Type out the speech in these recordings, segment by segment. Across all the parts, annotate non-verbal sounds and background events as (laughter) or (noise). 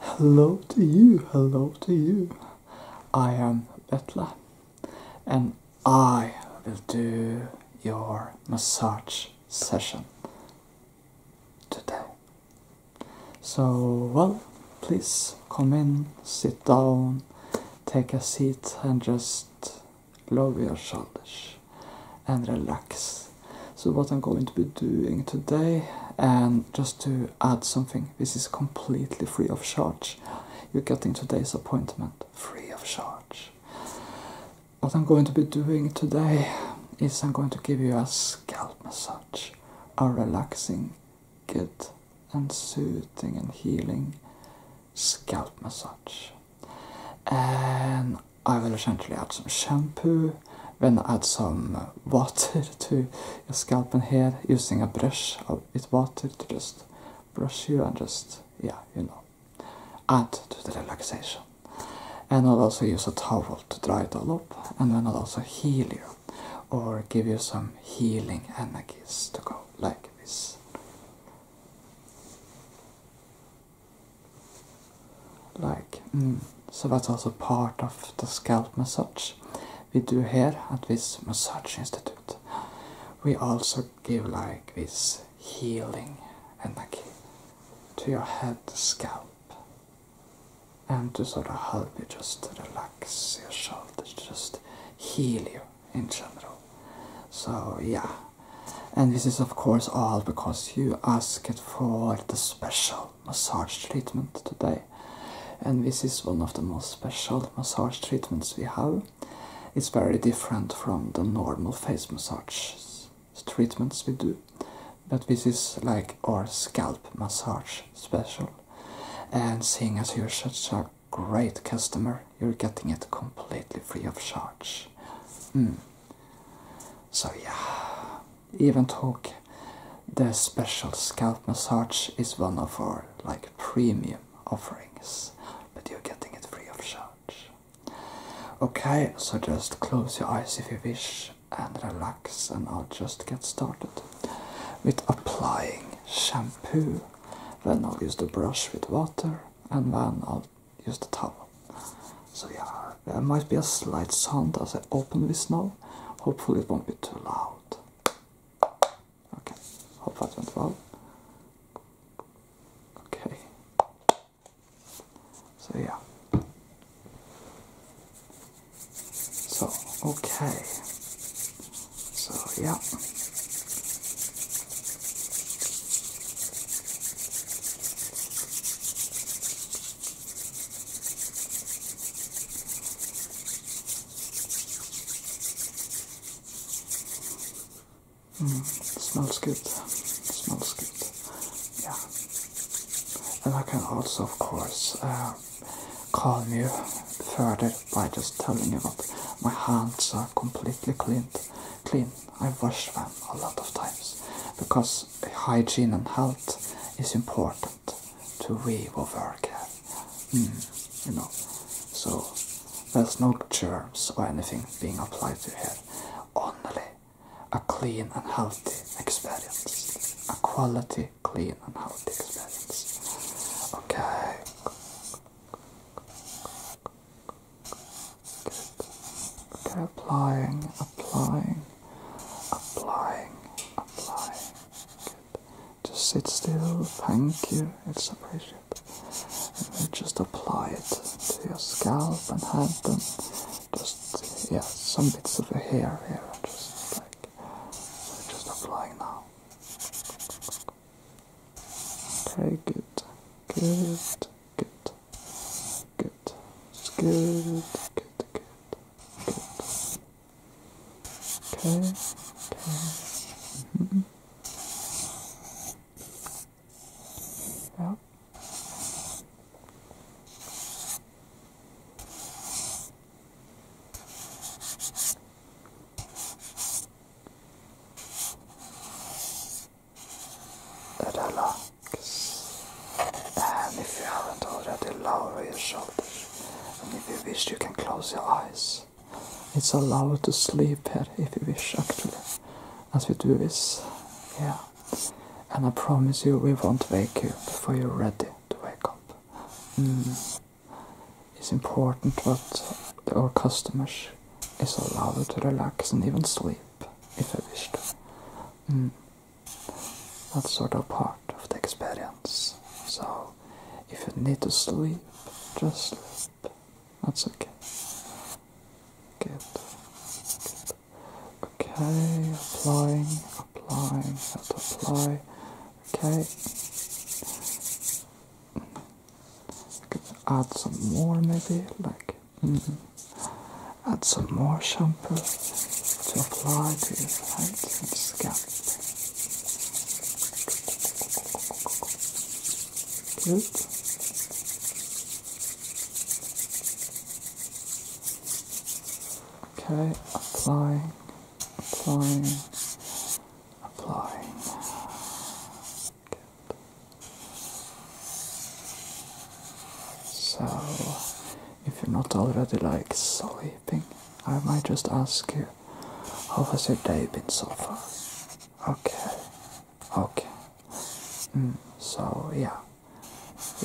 Hello to you, hello to you. I am Betla and I will do your massage session today. So, well, please come in, sit down, take a seat, and just lower your shoulders and relax. So, what I'm going to be doing today, and just to add something. This is completely free of charge. You're getting today's appointment free of charge. What I'm going to be doing today is I'm going to give you a scalp massage, a relaxing, good, and soothing and healing scalp massage. And I will essentially add some shampoo when add some water to your scalp and hair using a brush with water to just brush you and just, yeah, you know, add to the relaxation. And I'll also use a towel to dry it all up and then I'll also heal you or give you some healing energies to go like this like mm. so that's also part of the scalp massage we do here at this massage institute we also give like this healing energy to your head scalp and to sort of help you just relax your shoulders just heal you in general so yeah and this is of course all because you asked for the special massage treatment today and this is one of the most special massage treatments we have it's very different from the normal face massage treatments we do but this is like our scalp massage special and seeing as you're such a great customer you're getting it completely free of charge hmm. so yeah even talk the special scalp massage is one of our like premium offerings but you're getting it free of charge okay so just close your eyes if you wish and relax and i'll just get started with applying shampoo then i'll use the brush with water and then i'll use the towel so yeah there might be a slight sound as I open this now. Hopefully it won't be too loud. Okay, hope that went well. Okay. So yeah. So, okay. So yeah. Hmm, smells good. Smells good. Yeah. And I can also, of course, uh, calm you further by just telling you that my hands are completely clean. Clean. I wash them a lot of times because because hygiene and health is important to we of our care. Mm, you know, so there's no germs or anything being applied to here. Only a clean and healthy experience. A quality, clean and healthy experience. Okay. Good. Okay, applying applying, applying, applying. Good. Just sit still, thank you, it's appreciated. And just apply it to your scalp and hand them. just, yeah, some bits of your hair here. Just like, so just applying now. Okay, good, good, good, good. It's good. Good. Good. Good. Okay. Okay. Mm -hmm. Yep. Adela. And if you haven't already, lower your shoulders. And if you wish, you can close your eyes. It's allowed to sleep here if you wish, actually, as we do this. Yeah. And I promise you, we won't wake you before you're ready to wake up. Hmm. It's important that our customers is allowed to relax and even sleep if they wish to. Hmm that's sort of part of the experience. So if you need to sleep, just sleep. That's okay. Good. Good. Okay, applying, applying, how to apply. Okay. add some more maybe, like Mm-hmm. Add some more shampoo to apply to your head scalp. Okay, applying, applying, applying. So, if you're not already like sleeping, I might just ask you, how has your day been so far? Okay, okay. Hmm, so, yeah,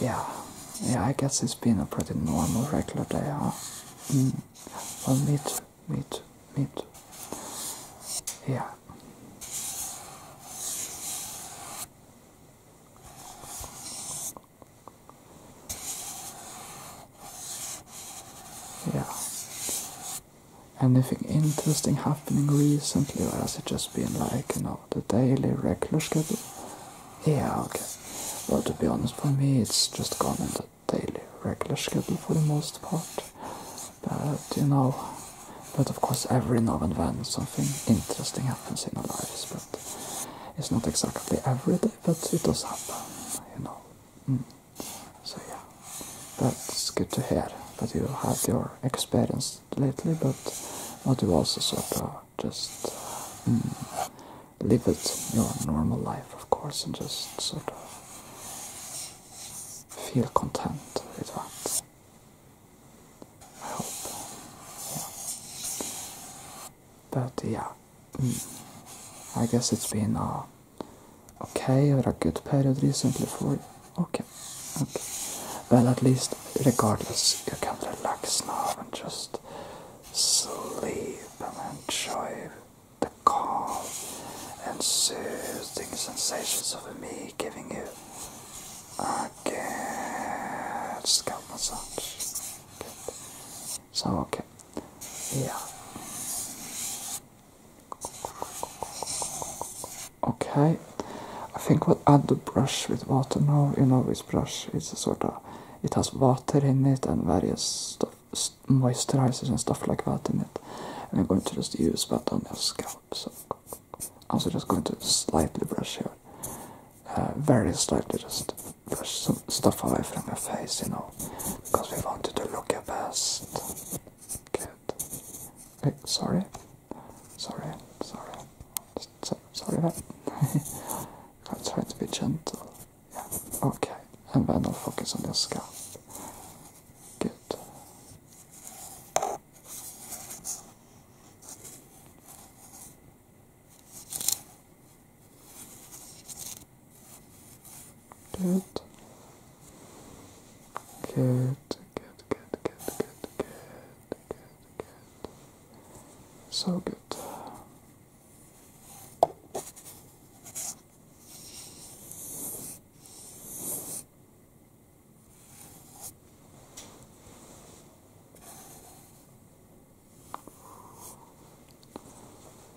yeah, yeah, I guess it's been a pretty normal, regular day, huh? Mm. Well, me too, me Yeah. Yeah. Anything interesting happening recently, or has it just been like, you know, the daily regular schedule? Yeah, okay. Well, to be honest, for me, it's just gone in the daily regular schedule for the most part. But, you know, but of course, every now and then something interesting happens in our lives. But it's not exactly every day, but it does happen, you know. Mm. So yeah, that's good to hear that you had your experience lately, but not to also sort of just mm, live it your normal life, of course, and just sort of feel content with that. But yeah, mm. I guess it's been a uh, okay or a good period recently for you. Okay, okay. Well, at least, regardless, you can relax now and just sleep and enjoy the calm and soothing sensations of me giving you. Uh, Target scalp massage. So okay. Yeah. Okay. I think we'll add the brush with water now. You know this brush is a sort of it has water in it and various stuff moisturizers and stuff like that in it. And I'm going to just use that on your scalp. So also just going to slightly brush here. Uh, very slightly just brush some stuff away from your face, you know, because we want you to look your best. Good. Okay, sorry. Sorry, sorry. sorry about I'm (laughs) trying to be gentle. Yeah, okay. And then I'll focus on your scalp. Good. Good. Good, good, good, good, good, good, good, So good.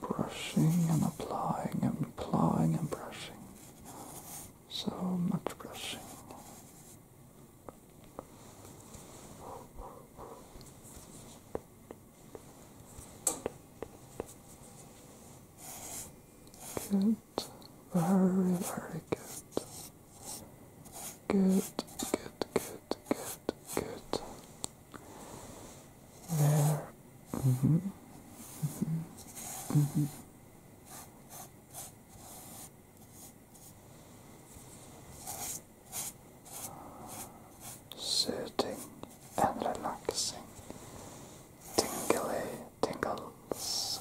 Brushing and applying and plowing and brushing. So much brushing. Good. Very, very good. Good, good, good, good, good. There. Mm -hmm. Mm -hmm. -hmm. Soothing and relaxing, tingly tingles.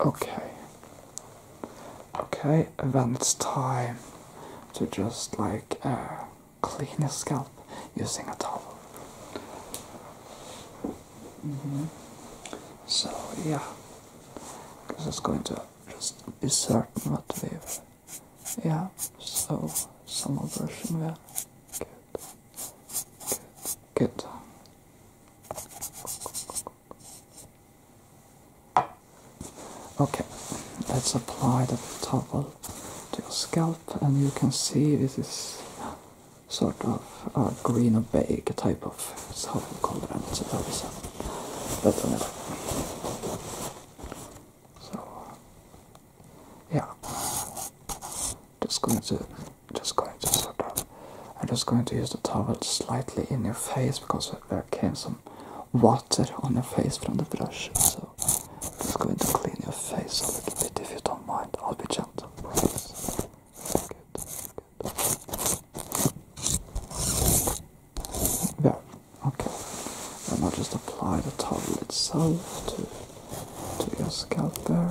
Okay. Okay, then it's time to just like uh, clean your scalp using a towel. Mm -hmm. So yeah, because it's going to just be certain not to have Yeah, so some brushing there. Good. Good. Okay, let's apply the towel to your scalp, and you can see this is sort of a green opaque type of we call it, so that is better anyway. So, yeah, just go to just going to sort of I'm just going to use the towel slightly in your face because there came some water on your face from the brush. So I'm just going to clean your face a little bit if you don't mind. I'll be gentle. Please. Good. Good. There. Okay. And I'll just apply the towel itself to to your scalp there.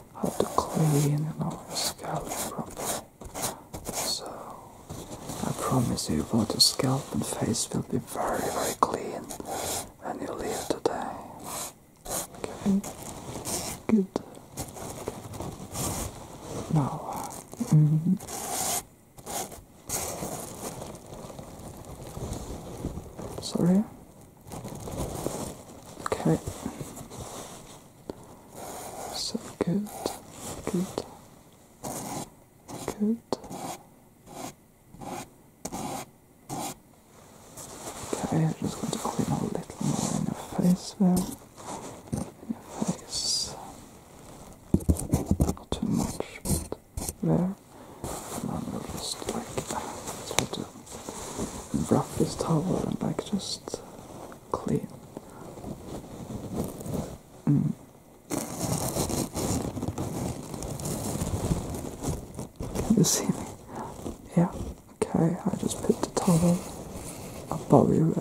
Have to clean our scalp properly. So I promise you both your scalp and face will be very very clean when you leave today. Okay? Good. Now mm-hmm. Sorry? Okay. So good, good, good. Okay, I'm just going to clean a little more in your face there. In your face. Not too much, but there. And I'm going just like uh, try to rough this towel and like just Clear. Mm. Can you see me? Yeah. Okay, I just put the towel above you.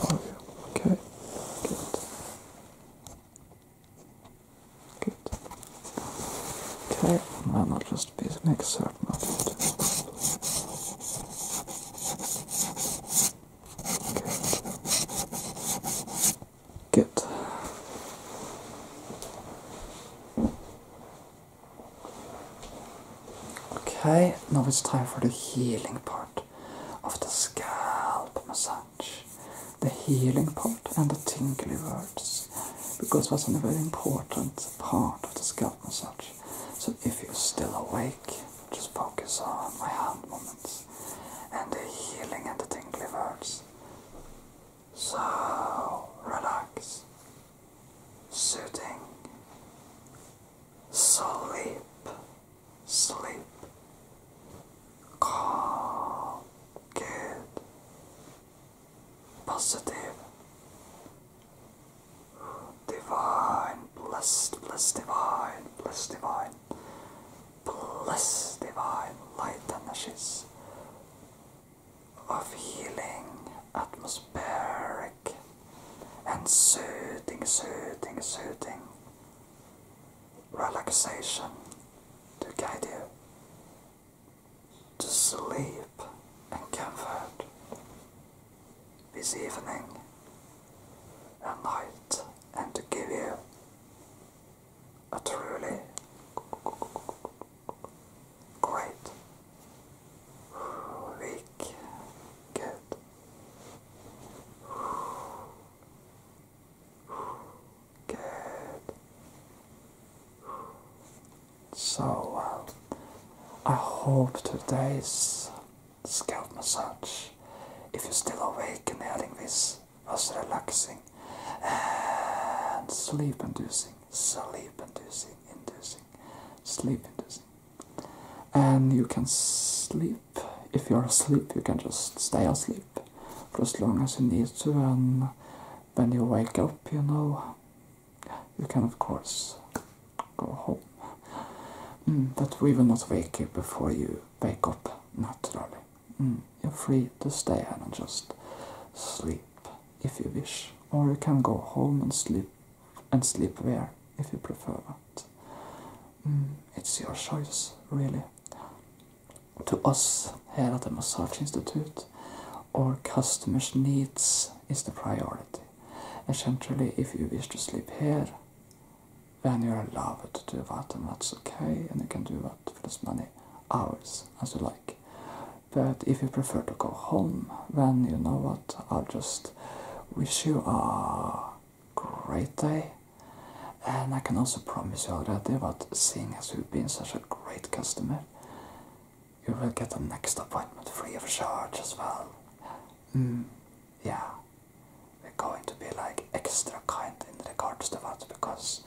Above you. Okay. Good it. Okay, well not just a bit, make a Good. Okay, now it's time for the healing part of the scalp massage. The healing part and the tingly words, because that's a very important part of the scalp massage. So if you're still awake, just focus on my hand movements and the healing and the tingling verbs. So relax, soothing, sleep, sleep, calm, good, positive, divine, blessed, blessed, divine, blessed, divine, blessed, divine, light energies of healing, atmospheric, and soothing, soothing, soothing relaxation to guide you to sleep in comfort this evening and night and to give you a truly great week. Good. Good. So, uh, I hope today's scalp massage, if you're still awake and hearing this, was relaxing and sleep inducing, sleep inducing, inducing, sleep inducing. And you can sleep, if you're asleep, you can just stay asleep for as long as you need to when you wake up, you know, you can of course go home. Hmm, but we will not wake you before you wake up naturally. Hmm, you're free to stay and just sleep if you wish, or you can go home and sleep and sleep there if you prefer that. Hmm, it's your choice, really to us here at the Massage Institute, our customers' needs is the priority. Essentially, if you wish to sleep here, then you're allowed to do that, and that's okay, and you can do that for as many hours as you like. But if you prefer to go home, then you know what, I'll just wish you a great day. And I can also promise you already that seeing as you've been such a great customer, you will get the next appointment free of charge as well. Hmm. yeah, we're going to be like extra kind in regards to that because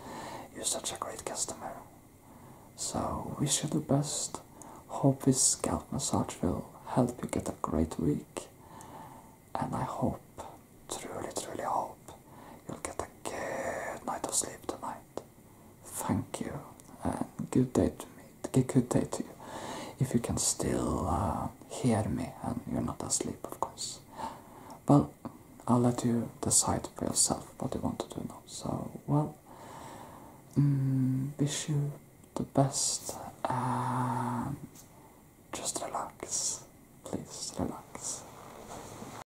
you're such a great customer. So, wish you the best. Hope this scalp massage will help you get a great week. And I hope, truly, truly hope, you'll get a good night of sleep tonight. Thank you, and good day to me. Good day to you. If you can still uh, hear me and you're not asleep, of course. Well, I'll let you decide for yourself what you want to do now. So, well, mm, wish you the best. and just relax, please relax.